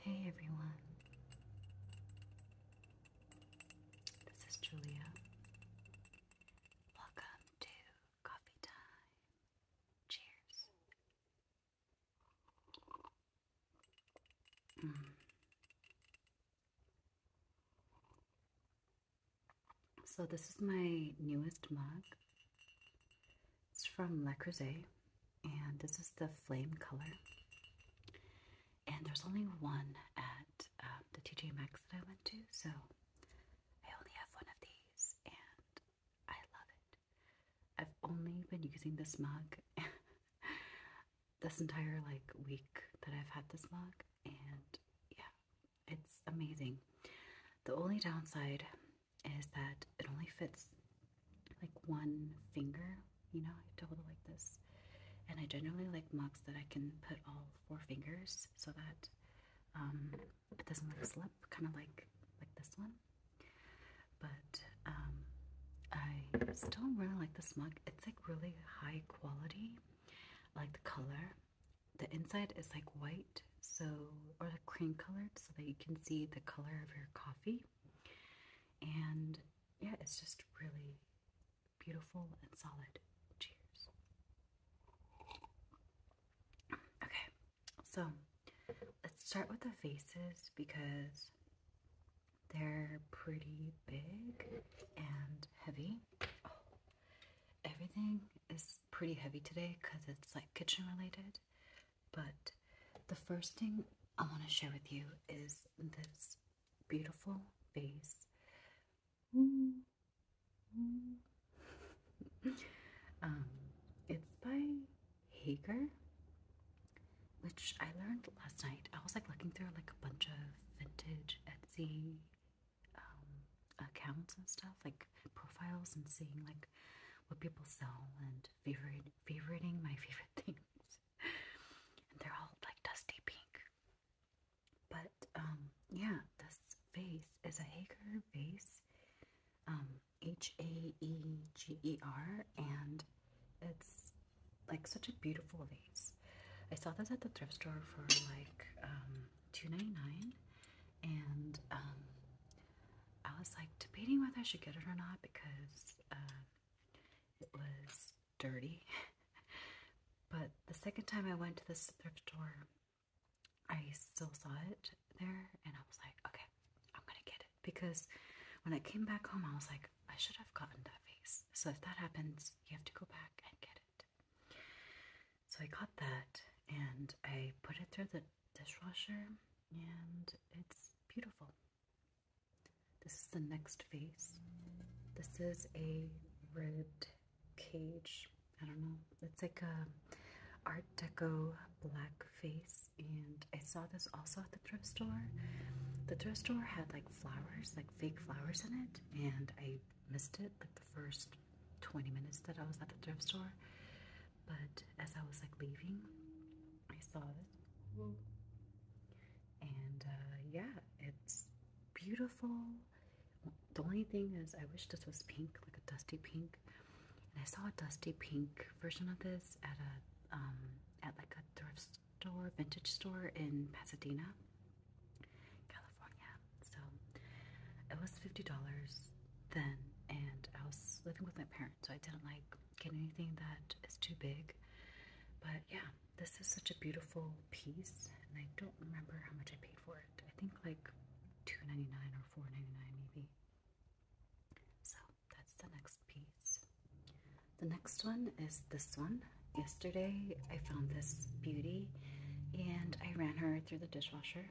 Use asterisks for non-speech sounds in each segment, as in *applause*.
Hey everyone. This is Julia. Welcome to coffee time. Cheers. Mm. So, this is my newest mug. It's from Le Creuset, and this is the flame color. And there's only one at um, the TJ Max that I went to, so I only have one of these, and I love it. I've only been using this mug *laughs* this entire like week that I've had this mug, and yeah, it's amazing. The only downside is that it only fits like one finger, you know, I double like this. And I generally like mugs that I can put all four fingers so that um, it doesn't like slip, kind of like like this one. But um, I still really like this mug. It's like really high quality. like the color. The inside is like white so or the cream colored, so that you can see the color of your coffee. And yeah, it's just really beautiful and solid. Cheers. Okay, so let's start with the faces because they're pretty big and heavy. Oh, everything is pretty heavy today because it's like kitchen related. But the first thing I want to share with you is this beautiful vase. Um, it's by Hager, which I learned last night. I was like looking through like a bunch of vintage Etsy um, accounts and stuff, like profiles, and seeing like what people sell and favorite favoriting my favorite *laughs* things. and they're all like dusty pink. But um yeah, this vase is a Hager vase. Um, H A E G E R and it's like such a beautiful vase. I saw this at the thrift store for like um 2 and um I was like debating whether I should get it or not because um, it was dirty. *laughs* but the second time I went to this thrift store, I still saw it there, and I was like, okay, I'm gonna get it because when I came back home, I was like, I should have gotten that vase. So if that happens, you have to go back and get it. So I got that, and I put it through the dishwasher, and it's beautiful. This is the next vase. This is a red cage. I don't know. It's like a Art Deco black vase, and I saw this also at the thrift store. The thrift store had like flowers, like fake flowers in it, and I missed it like the first 20 minutes that I was at the thrift store. But as I was like leaving, I saw this and uh, yeah, it's beautiful. The only thing is, I wish this was pink, like a dusty pink. And I saw a dusty pink version of this at a um, at like a thrift store, vintage store in Pasadena, California. So it was fifty dollars then, and I was living with my parents, so I didn't like get anything that is too big. But yeah, this is such a beautiful piece, and I don't remember how much I paid for it. I think like two ninety nine or four ninety nine maybe. So that's the next piece. The next one is this one. Yesterday I found this beauty and I ran her through the dishwasher.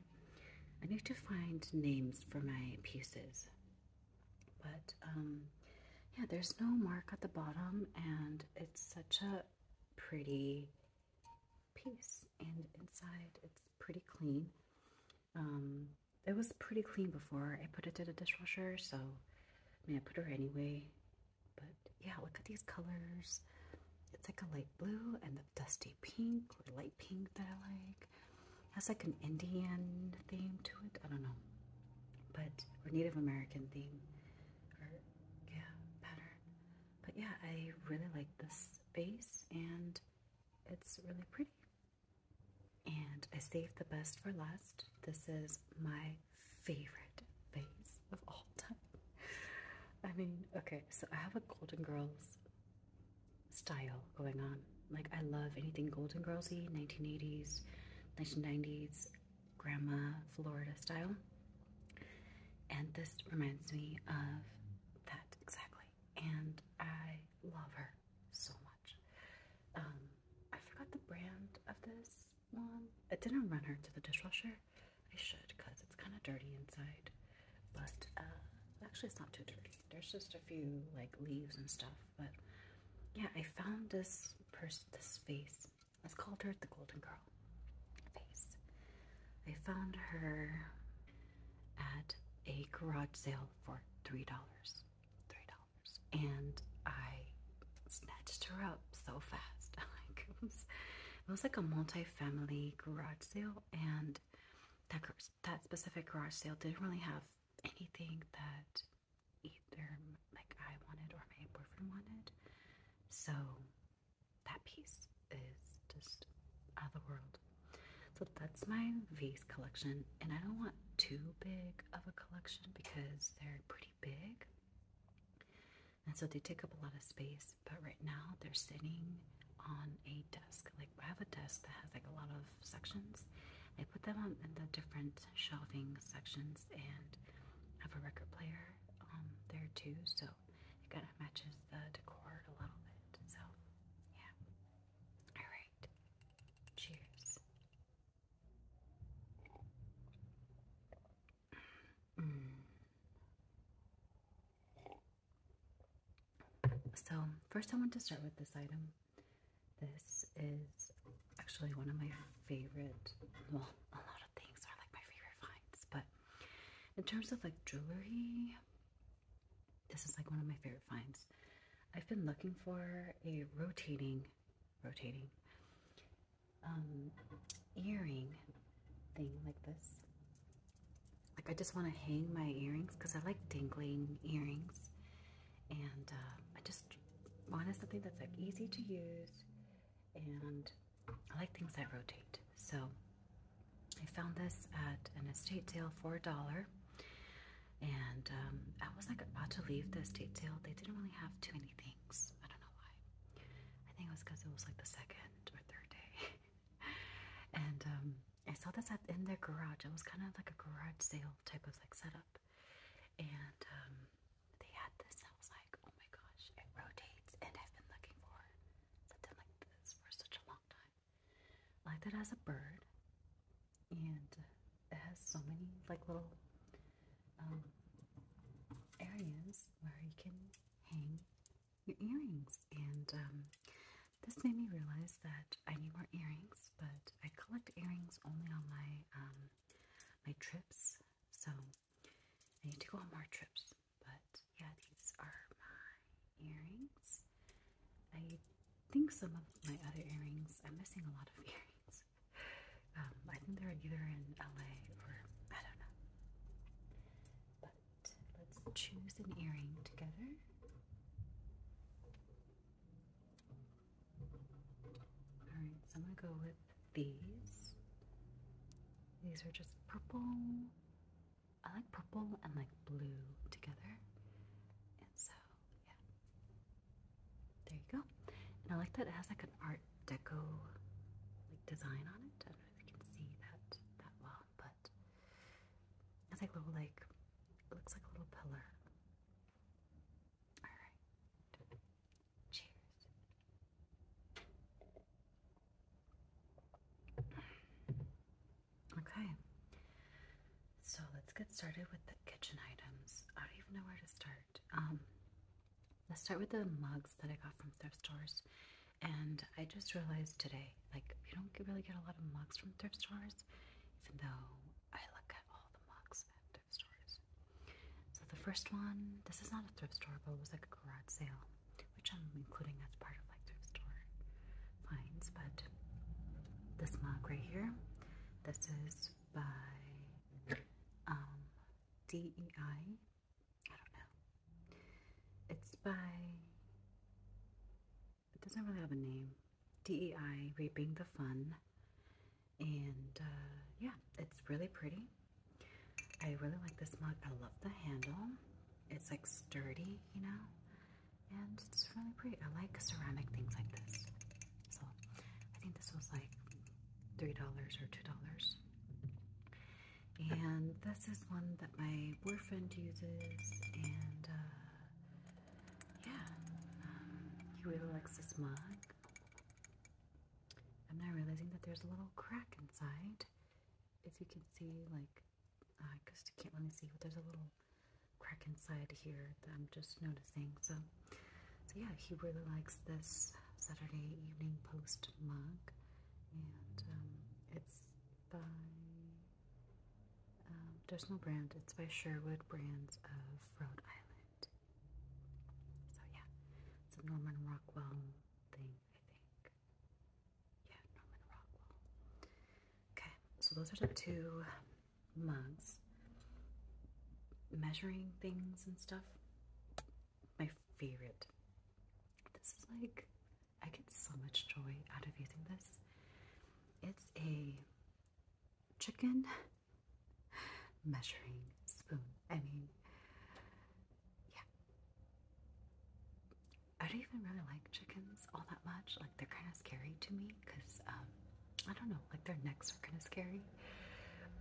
I need to find names for my pieces. But um, yeah, there's no mark at the bottom, and it's such a pretty piece. And inside, it's pretty clean. Um, it was pretty clean before I put it to the dishwasher, so I mean, I put her anyway. But yeah, look at these colors. It's like a light blue and the dusty pink or light pink that I like. Has like an Indian theme to it. I don't know, but or Native American theme, or yeah, pattern. But yeah, I really like this base, and it's really pretty. And I saved the best for last. This is my favorite vase of all time. *laughs* I mean, okay, so I have a Golden Girls style going on. Like I love anything Golden Girlsy, 1980s, 1990s, grandma Florida style. And this reminds me of that exactly. And I love her so much. Um, I forgot the brand of this one. I didn't run her to the dishwasher. I should because it's kind of dirty inside. But uh, actually, it's not too dirty. There's just a few like leaves and stuff but yeah, I found this purse, this face. Let's call her the Golden Girl face. I found her at a garage sale for three dollars. Three dollars. And I snatched her up so fast. *laughs* it was, it was like a multi-family garage sale and that, that specific garage sale didn't really have anything that either like I wanted or my boyfriend wanted. So that piece is just out of the world. So that's my vase collection, and I don't want too big of a collection because they're pretty big. And so they take up a lot of space, but right now they're sitting on a desk. Like I have a desk that has like a lot of sections. I put them on in the different shelving sections and have a record player um, there too, so it kind of matches the decor a little bit. So yeah. Alright. Cheers. Mm. So, first, I want to start with this item. This is actually one of my favorite, well, a lot of things are like my favorite finds, but in terms of like jewelry, this is like one of my favorite finds. I've been looking for a rotating, rotating um, earring thing like this. Like I just want to hang my earrings because I like dangling earrings and uh, I just wanted something that's like easy to use and I like things that rotate so I found this at an estate sale for a dollar and um, I was like about to leave the estate sale they didn't really have too many things I don't know why I think it was because it was like the second or third day *laughs* and um, I saw this at in their garage. It was kind of like a garage sale type of like setup, and um, they had this. I was like, oh my gosh, it rotates, and I've been looking for something like this for such a long time. Like that it as a bird, and it has so many like little um, areas where you can hang your earrings, and um, this made me realize that I need more earrings, but I collect earrings only on my um, my trips, so I need to go on more trips. But yeah, these are my earrings. I think some of my other earrings, I'm missing a lot of *laughs* earrings. Um, I think they're either in LA or I don't know. But let's choose an earring together. All right, so I'm gonna go with these. These are just purple. I like purple and like blue together. And so, yeah. There you go. And I like that it has like an art deco like design on it. I don't know if you can see that that well, but it's like little like it looks like a little pillar. All right. Cheers. Okay. So let's get started with the kitchen items. I don't even know where to start. Um, let's start with the mugs that I got from thrift stores. And I just realized today, like, you don't really get a lot of mugs from thrift stores even though I look at all the mugs at thrift stores. So the first one, this is not a thrift store, but it was like a garage sale, which I'm including as part of like thrift store finds. But this mug right here, this is by um, DEI. I don't know. It's by it doesn't really have a name. DEI, Reaping the Fun. And uh, yeah, it's really pretty. I really like this mug. I love the handle. It's like sturdy, you know, and it's really pretty. I like ceramic things like this. So I think this was like $3 or $2. And this is one that my boyfriend uses, and uh, yeah, um, he really likes this mug. I'm now realizing that there's a little crack inside. If you can see, like, I just can't really see, but there's a little crack inside here that I'm just noticing. So, so yeah, he really likes this Saturday Evening Post mug, and um, it's by um, there's no brand. It's by Sherwood Brands of Rhode Island. So yeah, it's a Norman Rockwell thing, I think. Yeah, Norman Rockwell. Okay, so those are the two mugs. Measuring things and stuff. My favorite. This is like I get so much joy out of using this. It's a chicken measuring spoon. I mean, yeah. I don't even really like chickens all that much. Like, they're kind of scary to me because, um, I don't know, like their necks are kind of scary.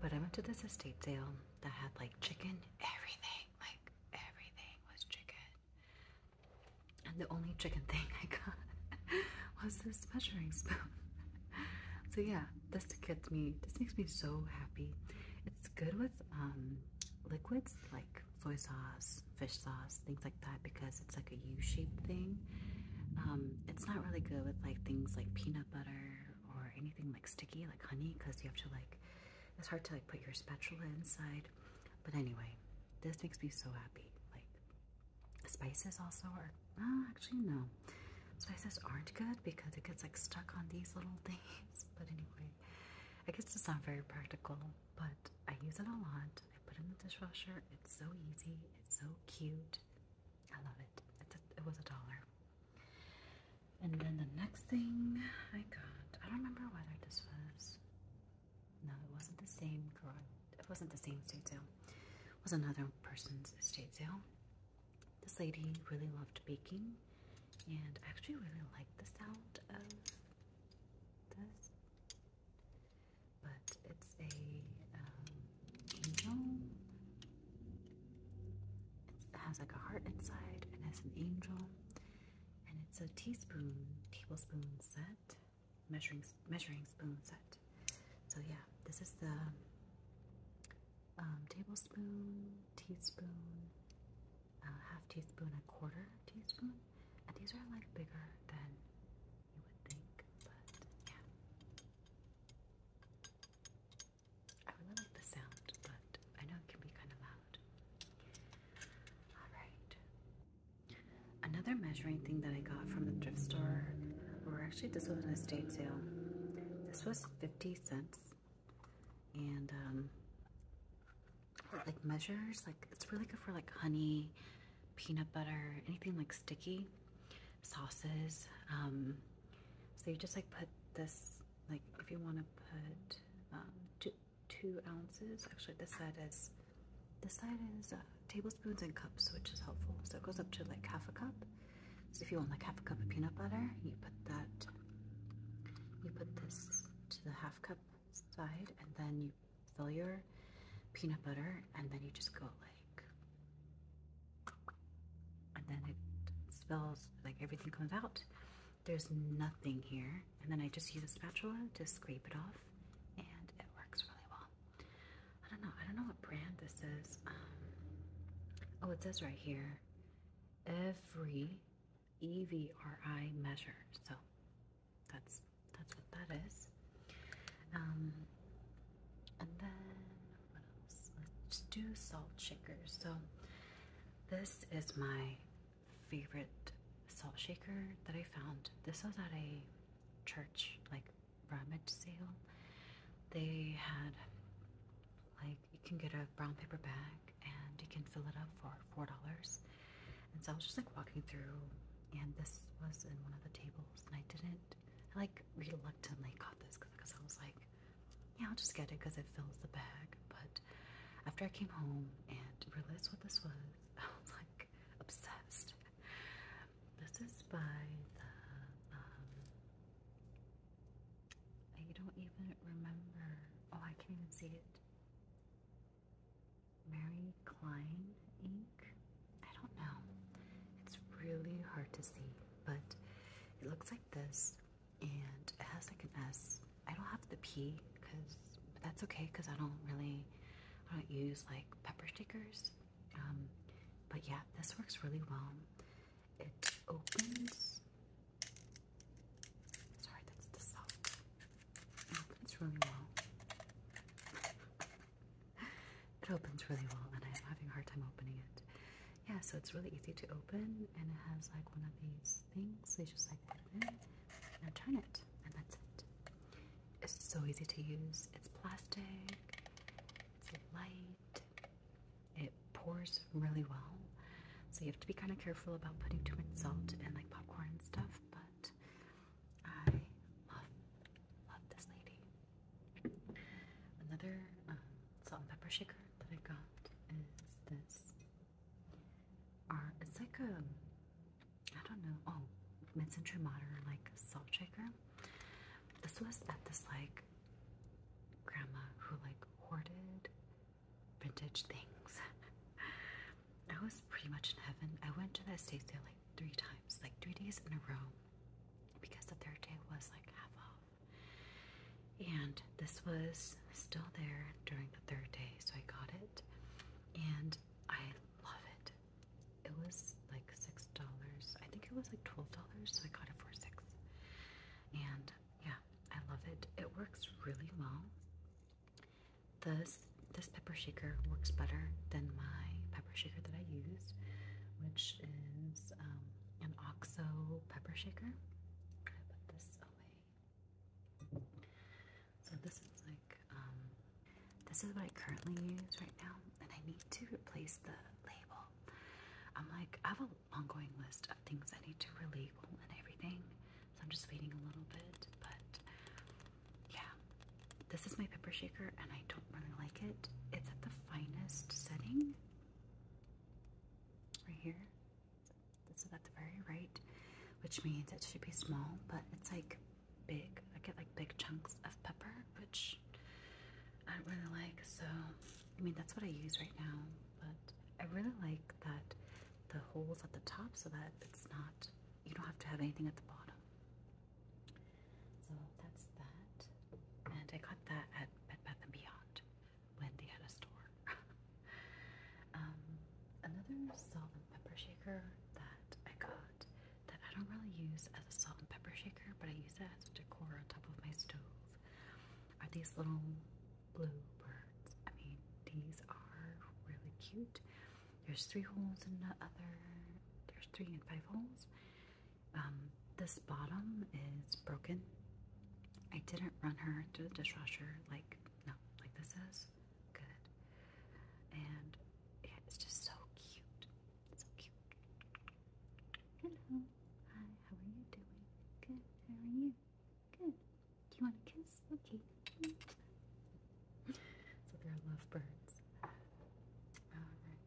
But I went to this estate sale that had like chicken, everything, like everything was chicken. And the only chicken thing I got *laughs* was this measuring spoon. So yeah, this gets me. This makes me so happy. It's good with um, liquids like soy sauce, fish sauce, things like that because it's like a U-shaped thing. Um, it's not really good with like things like peanut butter or anything like sticky like honey because you have to like. It's hard to like put your spatula inside. But anyway, this makes me so happy. Like Spices also are, oh, actually no, spices aren't good because it gets like stuck on these little *laughs* things. But anyway, I guess it's not very practical, but I use it a lot. I put it in the dishwasher. It's so easy. It's so cute. I love it. it was a dollar. And then the next thing I got, I don't remember whether this was no, it wasn't the same garage. It wasn't the same estate sale. It was another person's estate sale. This lady really loved baking, and I actually really liked the sound of this. But it's a um, angel. It has like a heart inside, and has an angel, and it's a teaspoon tablespoon set measuring measuring spoon set. So yeah, this is the um, tablespoon, teaspoon, uh, half teaspoon, a quarter teaspoon, and these are like bigger than you would think. But yeah, I really like the sound, but I know it can be kind of loud. All right. Another measuring thing that I got from the thrift store, or actually this was an estate sale. This was 50 cents. And um, like measures, like it's really good for like honey, peanut butter, anything like sticky, sauces. Um, so you just like put this, like if you want to put um, two, two ounces, actually this side is this side is tablespoons and cups, which is helpful. So it goes up to like half a cup. So if you want like half a cup of peanut butter, you put that, you put this to the half cup side, and then you fill your peanut butter, and then you just go like, and then it spills, like everything comes out. There's nothing here. And then I just use a spatula to scrape it off, and it works really well. I don't know. I don't know what brand this is. Um, oh, it says right here every EVRI measure. So that's that's what that is. Um, and then what else? Let's do salt shakers. So this is my favorite salt shaker that I found. This was at a church like rummage sale, they had like you can get a brown paper bag and you can fill it up for four dollars. And so I was just like walking through, and this was in one of the tables, and I didn't. I like reluctantly got this because I was like, yeah, I'll just get it because it fills the bag. But after I came home and realized what this was, *laughs* I was like obsessed. This is by the, um, I don't even remember. Oh, I can't even see it. Mary Klein ink? I don't know. It's really hard to see, but it looks like this and it has like an S. I don't have the P because, but that's okay because I don't really, I don't use like pepper stickers. Um, but yeah, this works really well. It opens. Sorry, that's the self. It opens really well. it opens really well, and I'm having a hard time opening it. Yeah, so it's really easy to open, and it has like one of these things. So just like put it in and turn it, and that's it. It's so easy to use. It's plastic, it's light, it pours really well. So you have to be kind of careful about putting too much salt and like popcorn stuff, but I love, love this lady. Another um, salt and pepper shaker that I got is this. Our, uh, it's like a, um, I don't know, oh, mid-century modern like salt shaker. This was at this like grandma who like hoarded vintage things. *laughs* I was pretty much in heaven. I went to that estate sale like three times, like three days in a row, because the third day was like half off. And this was still there during the third day, so I got it. And I love it it was like six dollars. I think it was like twelve dollars, so I got it for six. And yeah, I love it. It works really well. This this pepper shaker works better than my pepper shaker that I use, which is um, an OXO pepper shaker. I put this away. So this is like um, this is what I currently use right now, and I need to replace the label. I'm like, I have an ongoing list of things I need to relabel and everything, so I'm just waiting a little bit. But yeah, this is my pepper shaker, and I don't really like it. It's at the finest setting right here. This is at the very right, which means it should be small, but it's like big. I get like big chunks of pepper, which I don't really like. So, I mean, that's what I use right now. But I really like that the holes at the top so that it's not, you don't have to have anything at the bottom. So that's that. And I got that at Bed Bath & Beyond when they had a store. *laughs* Um, another salt and pepper shaker that I got that I don't really use as a salt and pepper shaker, but I use that as decor on top of my stove. Are these little blue birds? I mean, these are really cute. There's three holes in the other. There's three and five holes. Um, this bottom is broken. I didn't run her through the dishwasher like no, like this is good. And it's just so cute. So cute. Hello. Hi, how are you doing? Good. How are you? Good. Do you want a kiss? Okay. so they're lovebirds. Alright.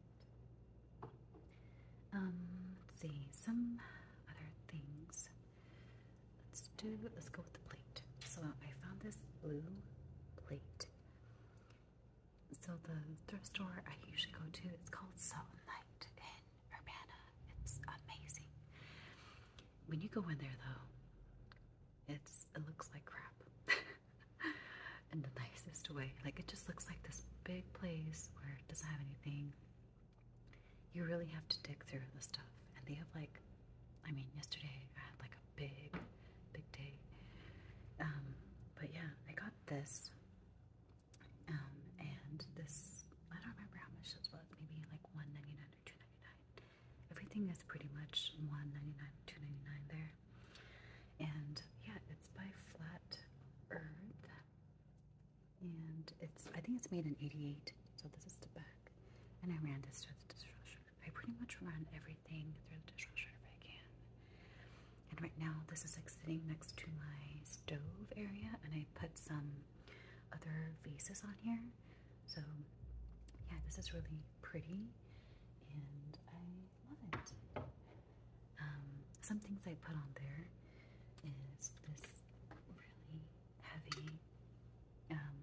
Um, let's see, some other things. Let's do let's go with the plate. So I found this blue plate so the thrift store I usually go to, it's called Salt and Light in Urbana. It's amazing. When you go in there though, it's it looks like crap. *laughs* in the nicest way. Like it just looks like this big place where doesn't have anything. You really have to dig through the stuff. And they have like I mean yesterday I had like a big big day. Um, but yeah, I got this, um, and this, I don't remember how much this was, maybe like $1.99 or 2 Everything is pretty much $1.99, there. And yeah, it's by Flat Earth. And it's, I think it's made in 88. So this is the back. And I ran this to the dishwasher. I pretty much ran every everything through the dishwasher if I can. And right now, this is like sitting next to my stove area, and I put some other vases on here. So, yeah, this is really pretty, and I love it. Um, some things I put on there is this really heavy um,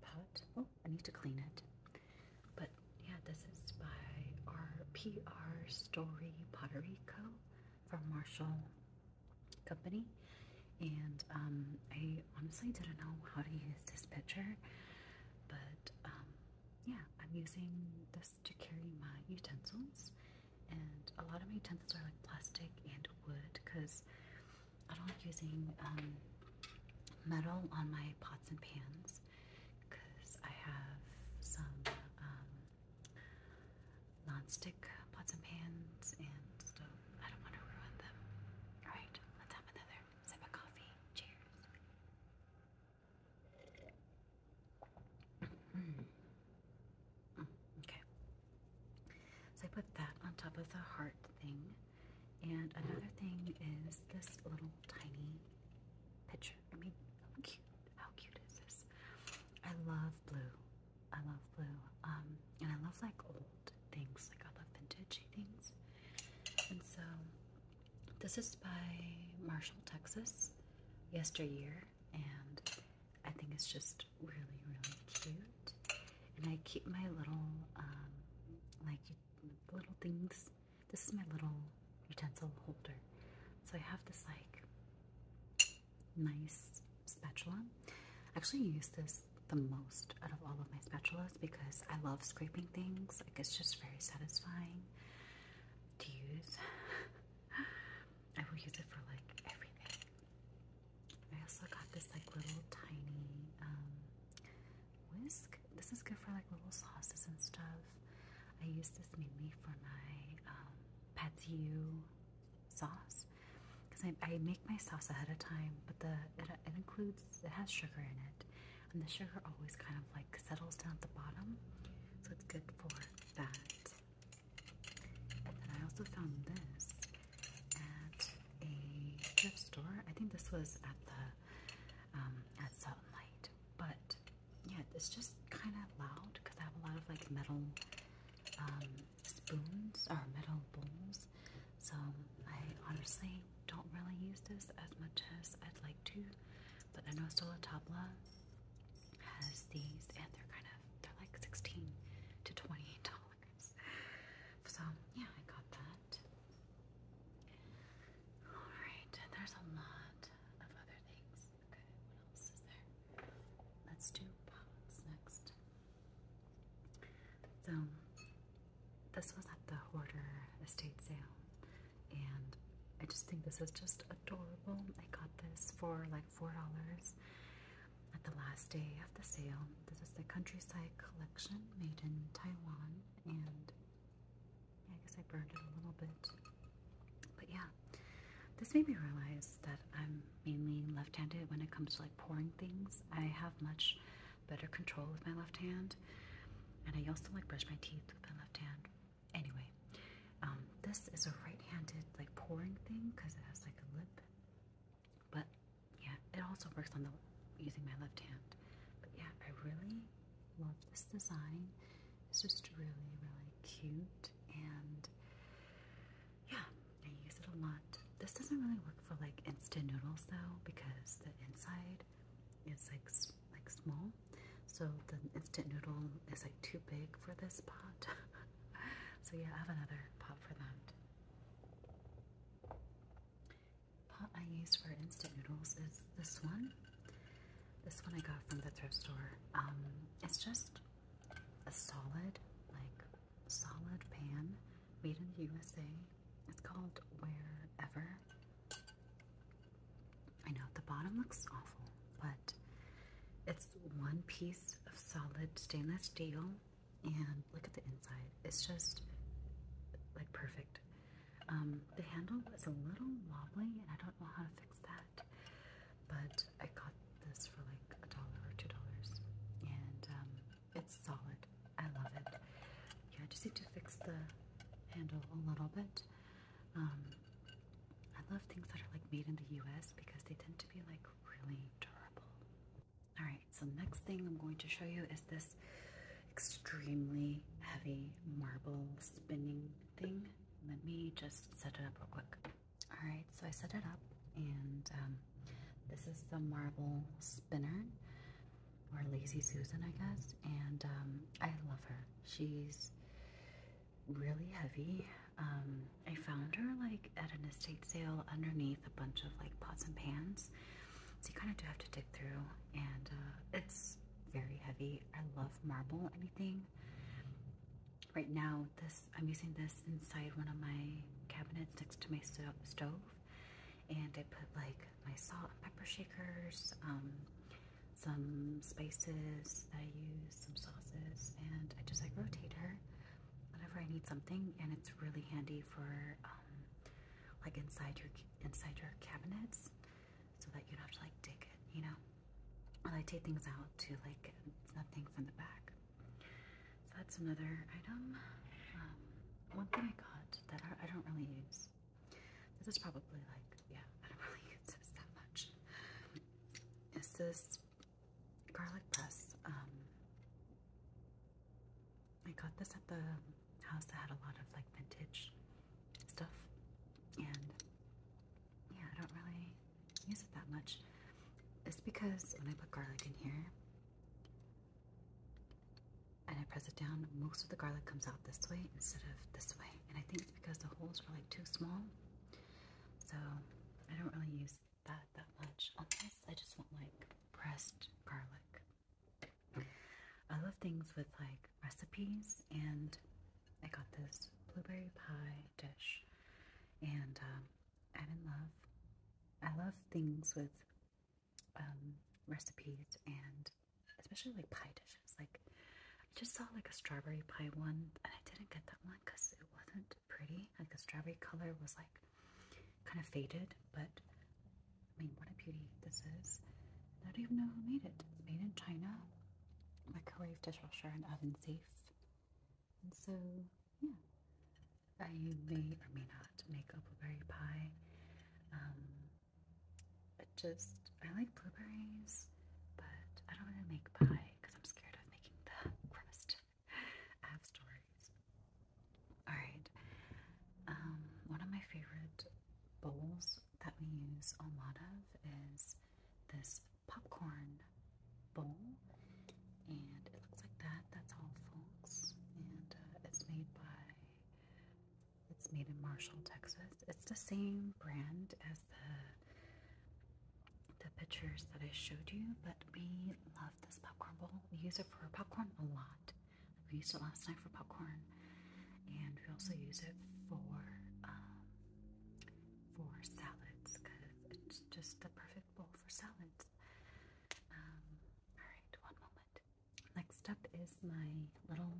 pot. Oh, I need to clean it. But yeah, this is by our PR Story Pottery Co. from Marshall Company. And um, I honestly didn't know how to use this pitcher, but um, yeah, I'm using this to carry my utensils. And a lot of my utensils are like plastic and wood because I don't like using um, metal on my pots and pans because I have some um, non-stick pots and pans and I don't want to ruin them. All right, let's have another sip of coffee. Cheers. Mm-hmm. okay. So I put that on top of the heart thing. And another thing is this little tiny picture. I mean, how cute. How cute is this? I love blue. I love blue. Um, and I love like old things. Like old vintage things. And so this is by Marshall, Texas, yesteryear, and I think it's just really, really cute. And I keep my little um, like little things this is my little utensil holder. So I have this like nice spatula. I Actually, use this the most out of all of my spatulas because I love scraping things. Like it's just very satisfying to use. *laughs* I will use it for like everything. I also got this like little tiny um, whisk. This is good for like little sauces and stuff. I use this mainly for my um, sauce because I, make my sauce ahead of time, but the it, includes it has sugar in it, and the sugar always kind of like settles down at the bottom, so it's good for that. And I also found this at a thrift store. I think this was at the um, at at Light, but yeah, it's just kind of loud because I have a lot of like metal um, spoons or metal bowls. So I honestly don't really use this as much as I'd like to. But I know Sola Tabla has these and they're kind of, they're like 16 to $28. *laughs* So yeah, I got that. Alright, there's a lot of other things. Okay, what else is there? Let's do pots next. So, this was at the Hoarder estate sale, and I just think this is just adorable. I got this for like $4 at the last day of the sale. This is the Countryside Collection made in Taiwan, and I guess I burned it a little bit. But yeah, this made me realize that I'm mainly left-handed when it comes to like pouring things. I have much better control with my left hand. And I also like brush my teeth with my left hand. Anyway, um, this is a right-handed like pouring thing because it has like a lip. But yeah, it also works on the using my left hand. But yeah, I really love this design. It's just really, really cute and yeah, I use it a lot. This doesn't really work for like instant noodles though because the inside is like like small. So the instant noodle is like too big for this pot. *laughs* so yeah, I have another pot for that. Pot I use for instant noodles is this one. This one I got from the thrift store. Um, it's just a solid, like solid pan made in the USA. It's called Wherever. I know the bottom looks awful, but it's one piece of solid stainless steel, and look at the inside. It's just like perfect. Um, the handle was a little wobbly, and I don't know how to fix that. But I got this for like a dollar or two dollars, and um, it's solid. I love it. Yeah, I just need to fix the handle a little bit. Um, I love things that are like made in the U.S. because they tend to be like really durable. All right, so next thing I'm going to show you is this extremely heavy marble spinning thing. Let me just set it up real quick. All right, so I set it up, and um, this is the marble spinner, or Lazy Susan, I guess. And um, I love her. She's really heavy. Um, I found her like at an estate sale underneath a bunch of like pots and pans. So you kind of do have to dig through, and uh, it's very heavy. I love marble anything. Right now, this I'm using this inside one of my cabinets next to my stove, and I put like my salt and pepper shakers, um, some spices that I use, some sauces, and I just like rotate her whenever I need something, and it's really handy for um, like inside your inside your cabinets so that you don't have to like take it, you know? And I take things out to like nothing from the back. So that's another item. Um, one thing I got that I, don't really use. This is probably like, yeah, *laughs* I don't really use this that much. Is this garlic press? Um, I got this at the house that had a lot of like vintage stuff, and yeah, I don't really use it that much. It's because when I put garlic in here and I press it down, most of the garlic comes out this way instead of this way. And I think it's because the holes are like too small. So I don't really use that that much. On this, I just want like pressed garlic. I love things with like recipes and I got this blueberry pie dish, and um, I'm in love. I love things with um, recipes and especially like pie dishes. Like I just saw like a strawberry pie one, and I didn't get that one because it wasn't pretty. Like the strawberry color was like kind of faded, but I mean, what a beauty this is! I don't even know who made it. It's made in China, microwave, dishwasher, and oven safe. And so, yeah, I may or may not make a blueberry pie. Um, just, I like blueberries, but I don't want to make pie because I'm scared of making the *laughs* crust. I have stories. Alright, um, one of my favorite bowls that we use a lot of is this popcorn bowl, and it looks like that. That's all, folks. And uh, it's made by it's made in Marshall, Texas. It's the same brand as the the pictures that I showed you, but we love this popcorn bowl. We use it for popcorn a lot. We used it last night for popcorn and we also use it for um, for salads because it's just the perfect bowl for salads. Um, all right, one moment. Next up is my little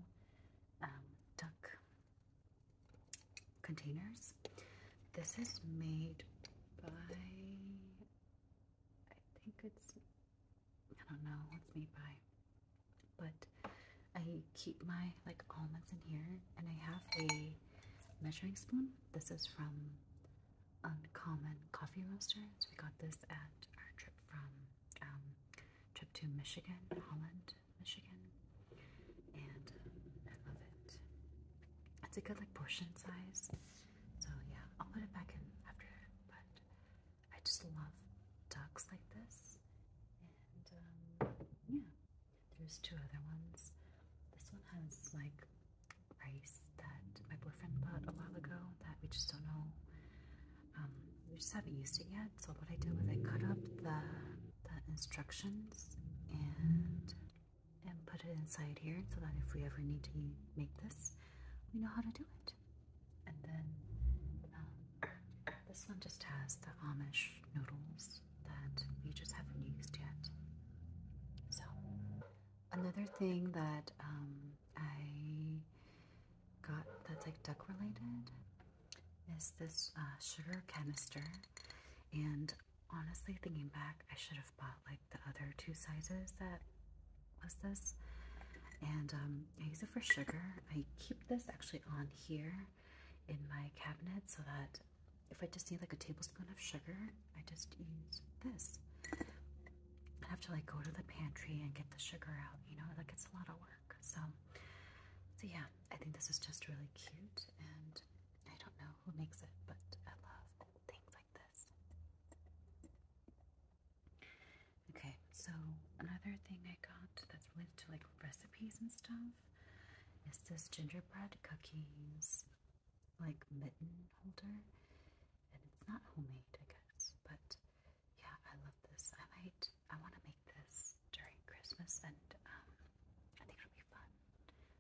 um, duck containers. This is made by I think it's I don't know what's made by but I keep my like almonds in here and I have a measuring spoon. This is from Uncommon Coffee Roaster. So we got this at our trip from um, trip to Michigan, Holland, Michigan. And I love it. It's a good like portion size. So yeah, I'll put it back in after, but I just love ducks like this. Um, yeah, there's two other ones. This one has like rice that my boyfriend bought a while ago that we just don't know. Um, we just haven't used it yet. So what I did was I cut up the, the instructions and and put it inside here so that if we ever need to make this, we know how to do it. And then um, this one just has the Amish noodles that we just haven't used yet. So, another thing that um, I got that's like duck related is this uh, sugar canister. And honestly, thinking back, I should have bought like the other two sizes that was this. And um, I use it for sugar. I keep this actually on here in my cabinet so that if I just need like a tablespoon of sugar, I just use this. I have to like go to the pantry and get the sugar out, you know, that gets a lot of work. So, so yeah, I think this is just really cute and I don't know who makes it, but I love things like this. Okay, so another thing I got that's related to like recipes and stuff is this gingerbread cookies like mitten holder and it's not homemade I guess but yeah I love this I might I want to make this during Christmas and um, I think it'll be fun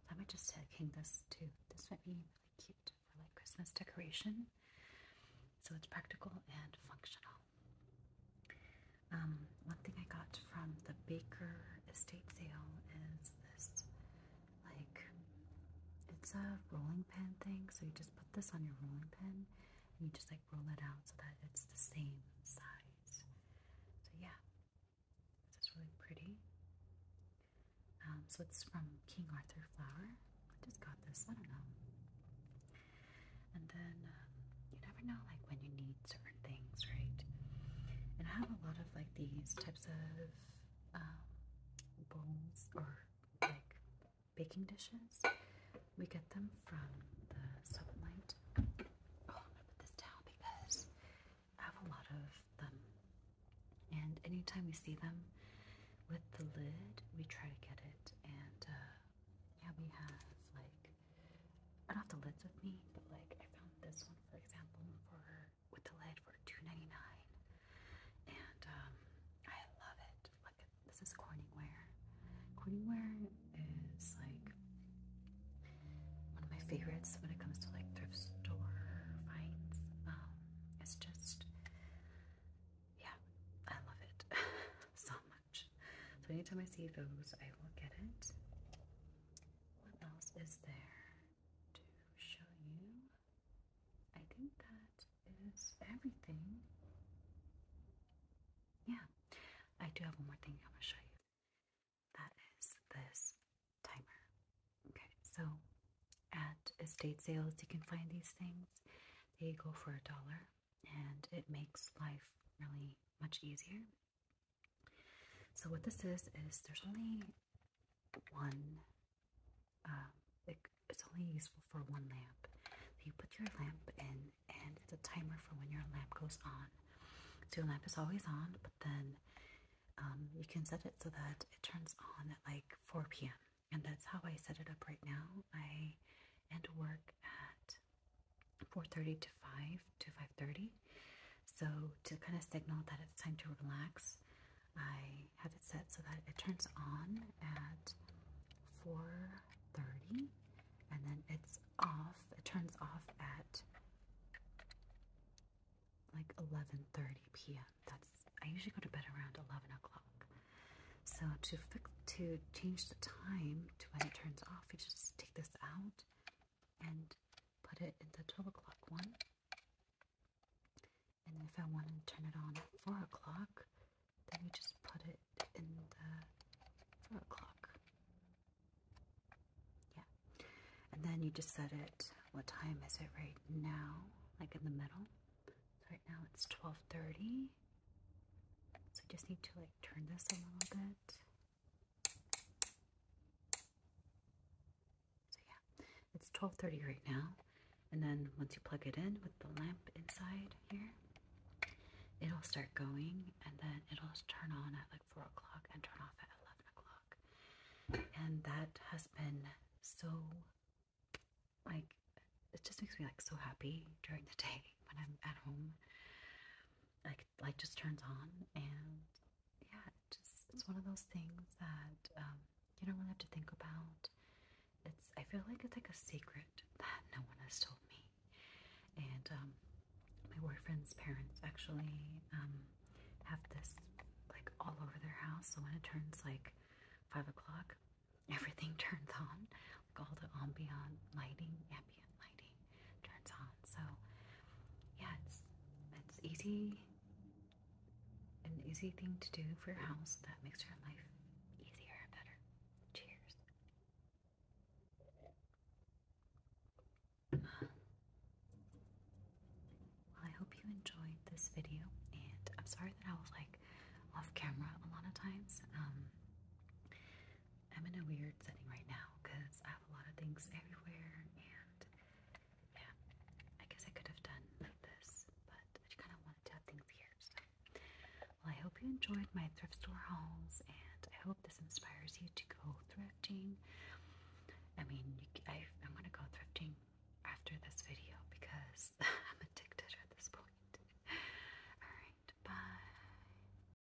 I might just hang this too this might be really cute for like Christmas decoration so it's practical and functional um, one thing I got from the Baker estate sale is this like it's a rolling pin thing, so you just put this on your rolling pin and you just like roll it out so that it's the same size. So yeah, this is really pretty. Um, so it's from King Arthur Flower. just got this, I don't know. And then um, you never know like when you need certain things, right? And I have a lot of like these types of um, bowls or like baking dishes. We get them from the soap Oh, I'm gonna put this down because I have a lot of them. And anytime we see them with the lid, we try to get it. And uh, yeah, we have like I don't have the lids with me, but like I found this one for example for with the lid for two ninety nine, And um I love it. Like this is Corningware. Corningware is like one of my favorites when it comes to like thrift store finds. Um, it's just yeah, I love it *laughs* so much. So anytime I see those, I will get it. What else is there to show you? I think that is everything. Yeah, I do have one more thing I want to show you. That is this timer. Okay, so at estate sales, you can find these things. They go for a dollar, and it makes life really much easier. So what this is is there's only one. Um, it's only useful for one lamp. you put your lamp in, and it's a timer for when your lamp goes on. So your lamp is always on, but then um, you can set it so that it turns on at like 4 p.m. And that's how I set it up right now. I end work at 4.30 to 5 to 5.30 so to kind of signal that it's time to relax i have it set so that it turns on at 4.30 and then it's off it turns off at like 11.30 p.m that's i usually go to bed around 11 o'clock so to fix to change the time to when it turns off you just take this out and put it in the 12 o'clock one. And if I want to turn it on 4 o'clock, then you just put it in the 4 o'clock. Yeah. And then you just set it, what time is it right now? Like in the middle. right now it's 12.30. So I just need to like turn this a little bit. So yeah, it's 12:30 right now, and then once you plug it in with the lamp inside here, it'll start going, and then it'll turn on at like four o'clock and turn off at 11 o'clock. And that has been so like it just makes me like so happy during the day when I'm at home. Like like just turns on and yeah just it's one of those things that um, you don't really have to think about it's I feel like it's like a secret that no one has told me and um, my boyfriend's parents actually um, have this like all over their house so when it turns like five o'clock *laughs* everything *laughs* turns on like all the ambient lighting ambient lighting turns on. So yeah, it's it's easy an easy thing to do for your house that makes your life easier and better. Cheers. Well, I hope you enjoyed this video, and I'm sorry that I was like off camera a lot of times. Um, I'm in a weird setting right now because I have a lot of things everywhere, and yeah, I guess I could have done like this, but I kind of wanted to have things here. So, well, I hope you enjoyed my thrift store hauls, and I hope this inspires you to go thrifting. I mean, I, I'm gonna go thrifting after this video because *laughs* I'm addicted at this point. *laughs* Alright, bye.